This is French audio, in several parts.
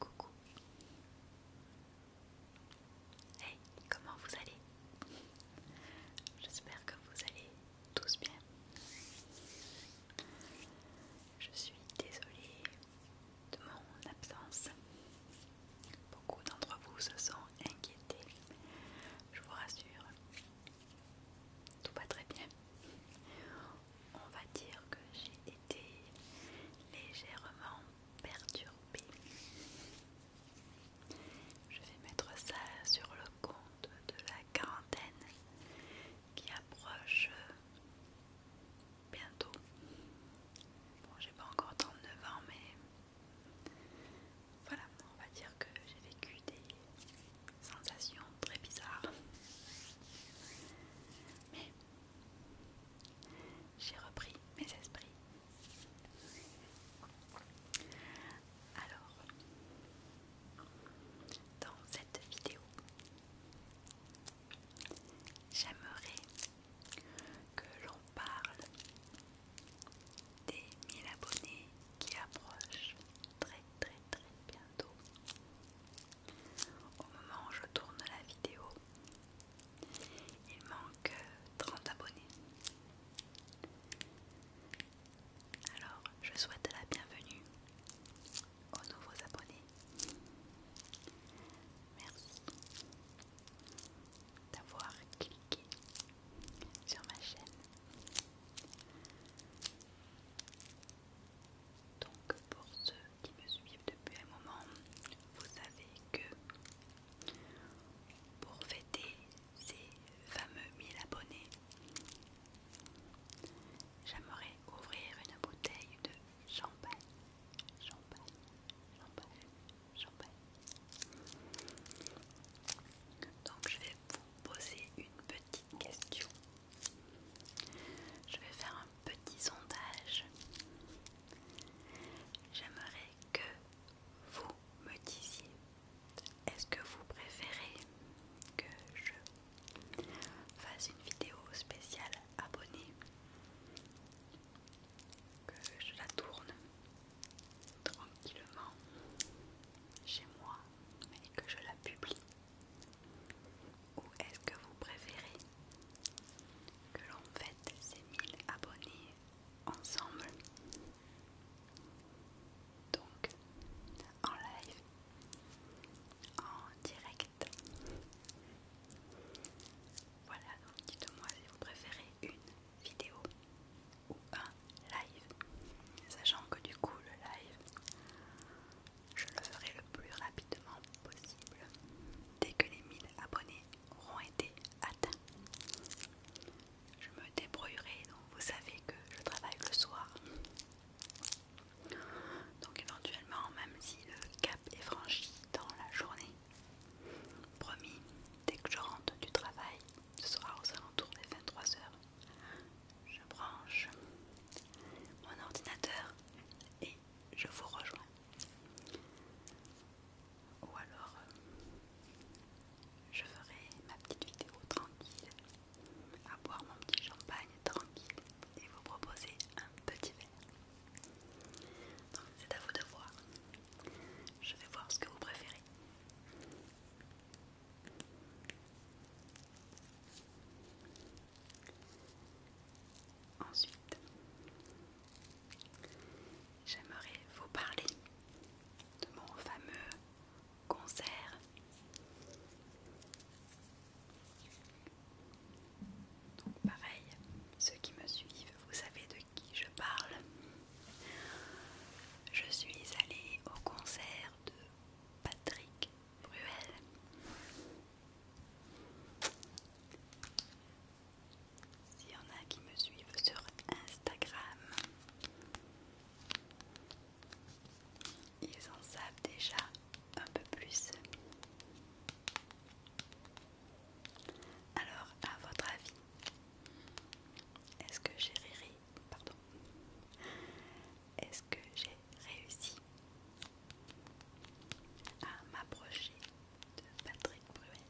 Coucou. Hey, comment vous allez J'espère que vous allez tous bien. Je suis désolée de mon absence. Beaucoup d'entre vous se sont inquiétés. Je vous rassure, tout va très bien. On va dire que j'ai été légèrement perturbée. Je vais mettre ça sur le compte de la quarantaine qui approche bientôt. Bon, j'ai pas encore 39 ans, mais voilà, on va dire que j'ai vécu des sensations très bizarres. Mais j'ai repris mes esprits. Alors, dans cette vidéo, j'aimerais que l'on parle des 1000 abonnés qui approchent très très très bien au moment où je tourne la vidéo, il manque 30 abonnés. Alors, je souhaite la bienvenue aux nouveaux abonnés. Merci d'avoir cliqué sur ma chaîne. Donc pour ceux qui me suivent depuis un moment, vous savez que pour fêter ces fameux 1000 abonnés, j'aimerais ouvrir une bouteille de champagne. Champagne, champagne, champagne. Donc je vais vous poser une petite Question, Je vais faire un petit sondage. J'aimerais que vous me disiez, est-ce que vous préférez que je fasse une vidéo spéciale abonnée, que je la tourne tranquillement chez moi et que je la publie Ou est-ce que vous préférez que l'on fête ces 1000 abonnés ensemble Donc en live, en direct voilà, donc dites-moi si vous préférez une vidéo ou un live, sachant que du coup le live, je le ferai le plus rapidement possible dès que les 1000 abonnés auront été atteints. Je me débrouillerai, donc vous savez que je travaille le soir. Donc éventuellement, même si le cap est franchi dans la journée, promis, dès que je rentre du travail, ce sera aux alentours des 23h, je branche mon ordinateur et je vous rejoins. Ou alors, je ferai ma petite vidéo tranquille, à boire mon petit champagne tranquille et vous proposer un petit verre. Donc c'est à vous de voir. Je vais voir ce que vous préférez. Ensuite, j'aimerais vous parler de mon fameux concert. Donc pareil, ceux qui me suivent, vous savez de qui je parle. Je suis allée au concert de Patrick Bruel. S'il y en a qui me suivent sur Instagram, ils en savent déjà un peu plus. Alors, à votre avis, est-ce que j'ai ri Pardon. Est-ce que j'ai réussi à m'approcher de Patrick Bruel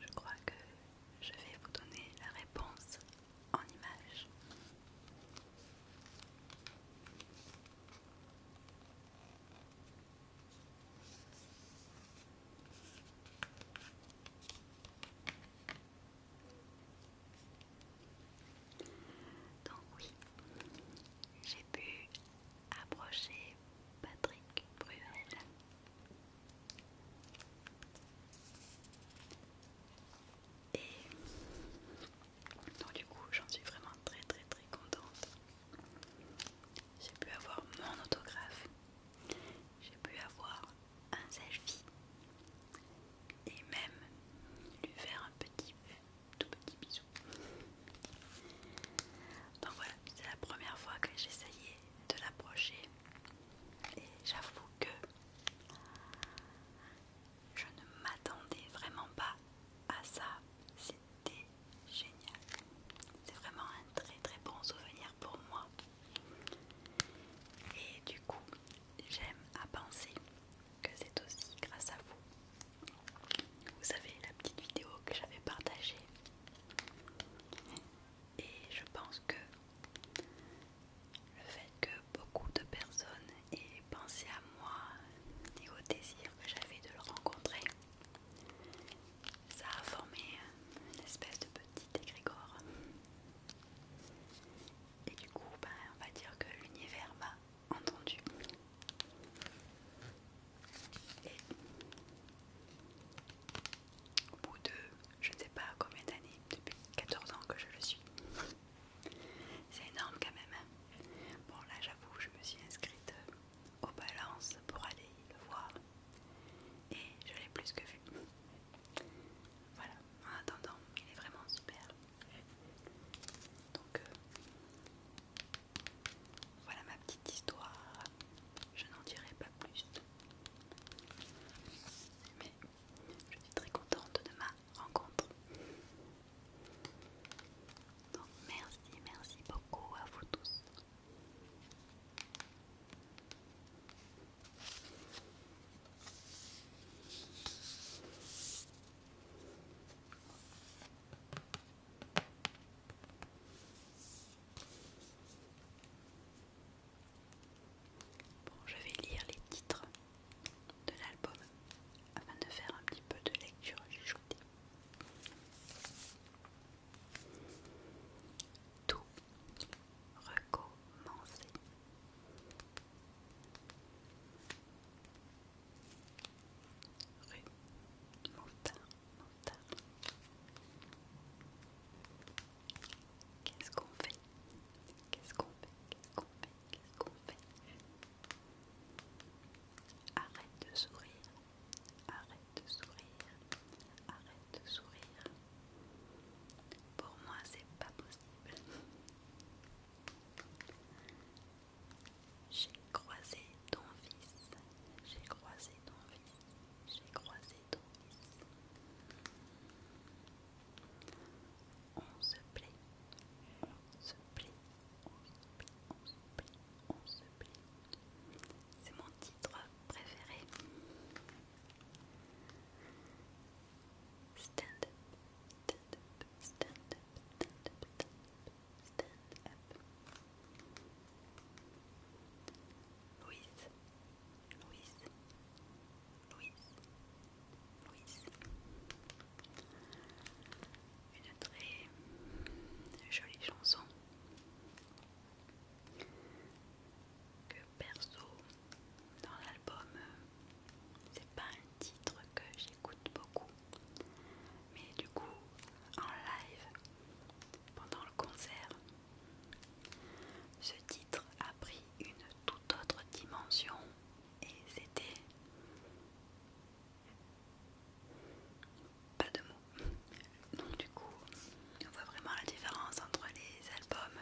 je crois que je vais vous donner la réponse en images. Donc oui, j'ai pu approcher Patrick Bruel. Et donc du coup j'en suis vraiment très très très contente. J'ai pu avoir mon autographe. J'ai pu avoir un selfie et même lui faire un petit, tout petit bisou. Donc voilà, c'est la première fois que j'essayais de l'approcher et j'avoue que je ne m'attendais vraiment pas à ça. C'était génial. C'est vraiment un très très bon souvenir pour moi. Et du coup, j'aime à penser que c'est aussi grâce à vous. Vous savez, la petite vidéo que j'avais partagée. Et je pense que le fait que beaucoup de personnes aient pensé à moi et au désir que j'avais de le rencontrer, ça a formé une espèce de petit égrégore. Et du coup, bah, on va dire que l'univers m'a entendu. Et au bout de je ne sais pas combien d'années, depuis 14 ans que je le suis. C'est énorme quand même. Hein. Bon là j'avoue, je me suis inscrite euh, aux balances pour aller le voir. Et je l'ai plus que vu. Voilà en attendant, il est vraiment super. Donc euh, voilà ma petite histoire. Je n'en dirai pas plus. Mais je suis très contente de ma rencontre. Donc merci, merci beaucoup à vous tous. Bon, je vais lire les titres de l'album afin de faire un petit peu de lecture recommencer. Rue Montin, Qu'est-ce qu'on fait Qu'est-ce qu'on fait Qu'est-ce qu'on fait Qu'est-ce qu'on fait Arrête de sourire. Arrête de sourire. Arrête de sourire. Pour moi, c'est pas possible. J'ai croisé ton fils. J'ai croisé ton fils. J'ai croisé ton fils. On se plaît. On se plaît. On se plaît. On se plaît. On se plaît. C'est mon titre préféré. Stand up, stand up, stand up, stand up, stand up, stand Louise, Louise, Louise, Louise. Une très jolie chanson que perso dans l'album euh, c'est pas un titre que j'écoute beaucoup mais du coup en live pendant le concert ce titre a pris une toute autre dimension et c'était pas de mots donc du coup on voit vraiment la différence entre les albums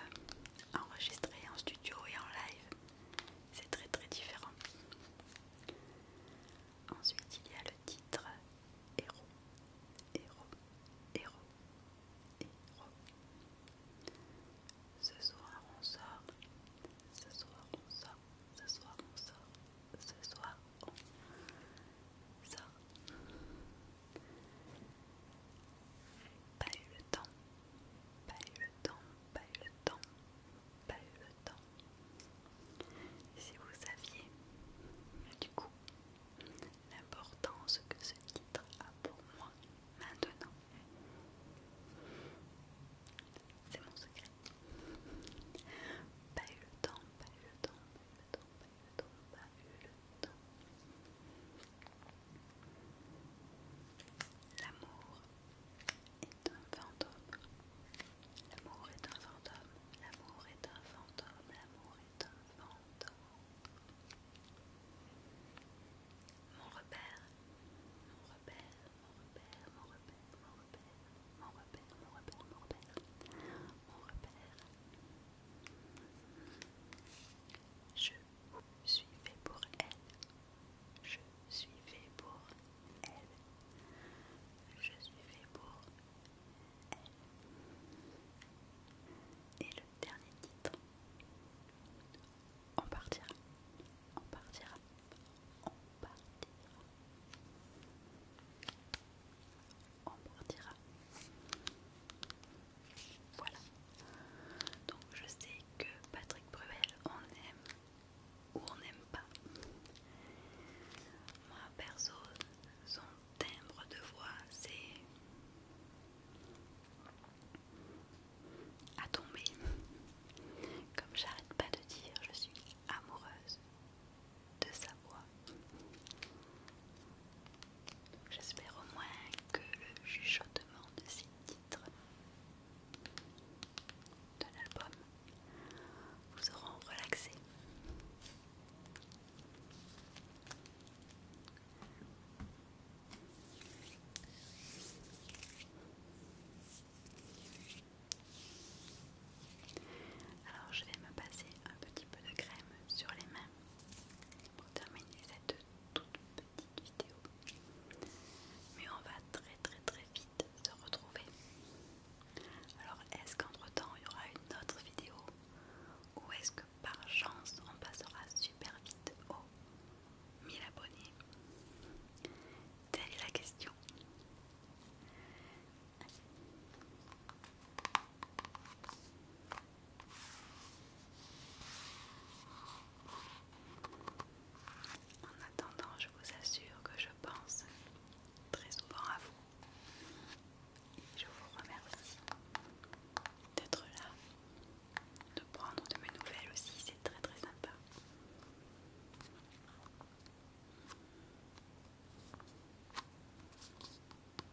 enregistré en studio et en live. C'est très très différent. Ensuite, il y a le titre Héros, Héros, Héros, Héros. Ce soir on sort, ce soir on sort, ce soir on sort, ce soir on sort. Pas eu le temps, pas eu le temps, pas eu le temps, pas eu le temps. Si vous saviez, du coup, l'importance que ce titre a pour moi maintenant, c'est mon secret. Pas eu le temps, pas eu le temps, pas eu le temps, L'amour est un fantôme. L'amour est un fantôme. L'amour est un fantôme. L'amour est un mon repère, mon repère, mon repère, mon repère, mon repère, mon repère, mon repère, mon repère. Je suis fait pour elle. Je suis fait pour elle. Je suis fait pour elle. Et le dernier titre. On partira. On partira. On partira. On dira, Voilà. Donc je sais que Patrick Bruel, on aime ou on n'aime pas. Moi perso, son timbre de voix, c'est à tomber. Comme j'arrête pas de dire, je suis amoureuse de sa voix. J'espère au moins que le chuchotement de ces titres de l'album vous auront relaxé. Alors je vais me passer un petit peu de crème sur les mains pour terminer cette toute petite vidéo. Mais on va très très très vite se retrouver. Alors est-ce qu'entre temps il y aura une autre vidéo ou est-ce que par chance on passera super vite aux 1000 abonnés Telle est la question. En attendant, je vous assure que je pense très souvent à vous. Je vous remercie d'être là, de prendre de mes nouvelles aussi, c'est très très sympa.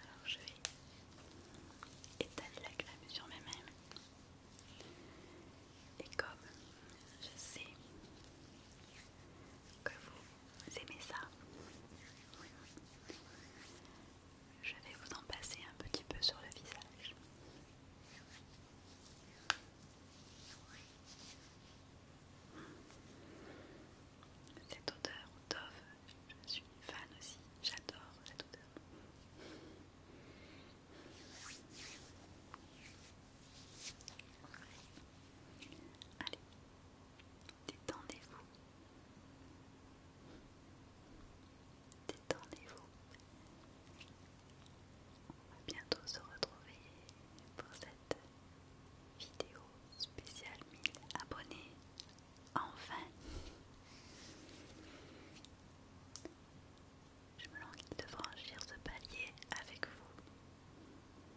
Alors je vais étaler la crème sur mes mains. Et comme je sais que vous vous aimez ça Je vais vous en passer un petit peu sur le visage. Cette odeur, Dove, je suis fan aussi, j'adore cette odeur. Allez, Détendez-vous. Détendez-vous. On va bientôt se retrouver pour cette vidéo spéciale 1000 abonnés. Enfin. Je me languis de franchir ce palier avec vous.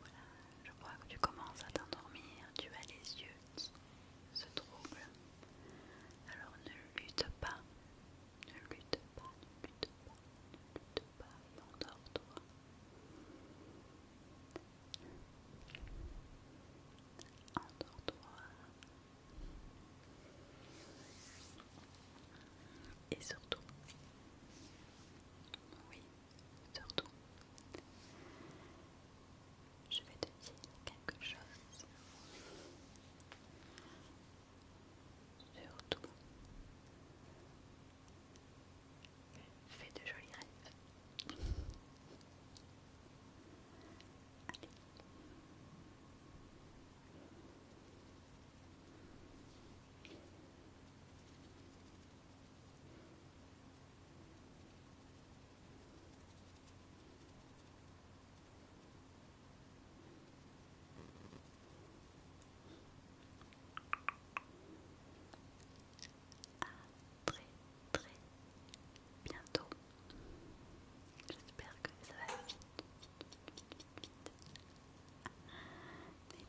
Voilà, je crois que tu commences à t'endormir, tu as les yeux qui se troublent. Alors ne lutte pas, ne lutte pas, ne lutte pas, ne lutte pas mais endors-toi. Endors-toi. Et surtout, oui, surtout, je vais te dire quelque chose. Surtout, fais de jolis rêves. Allez très très bientôt. J'espère que ça va vite,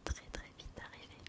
très très vite arrivé.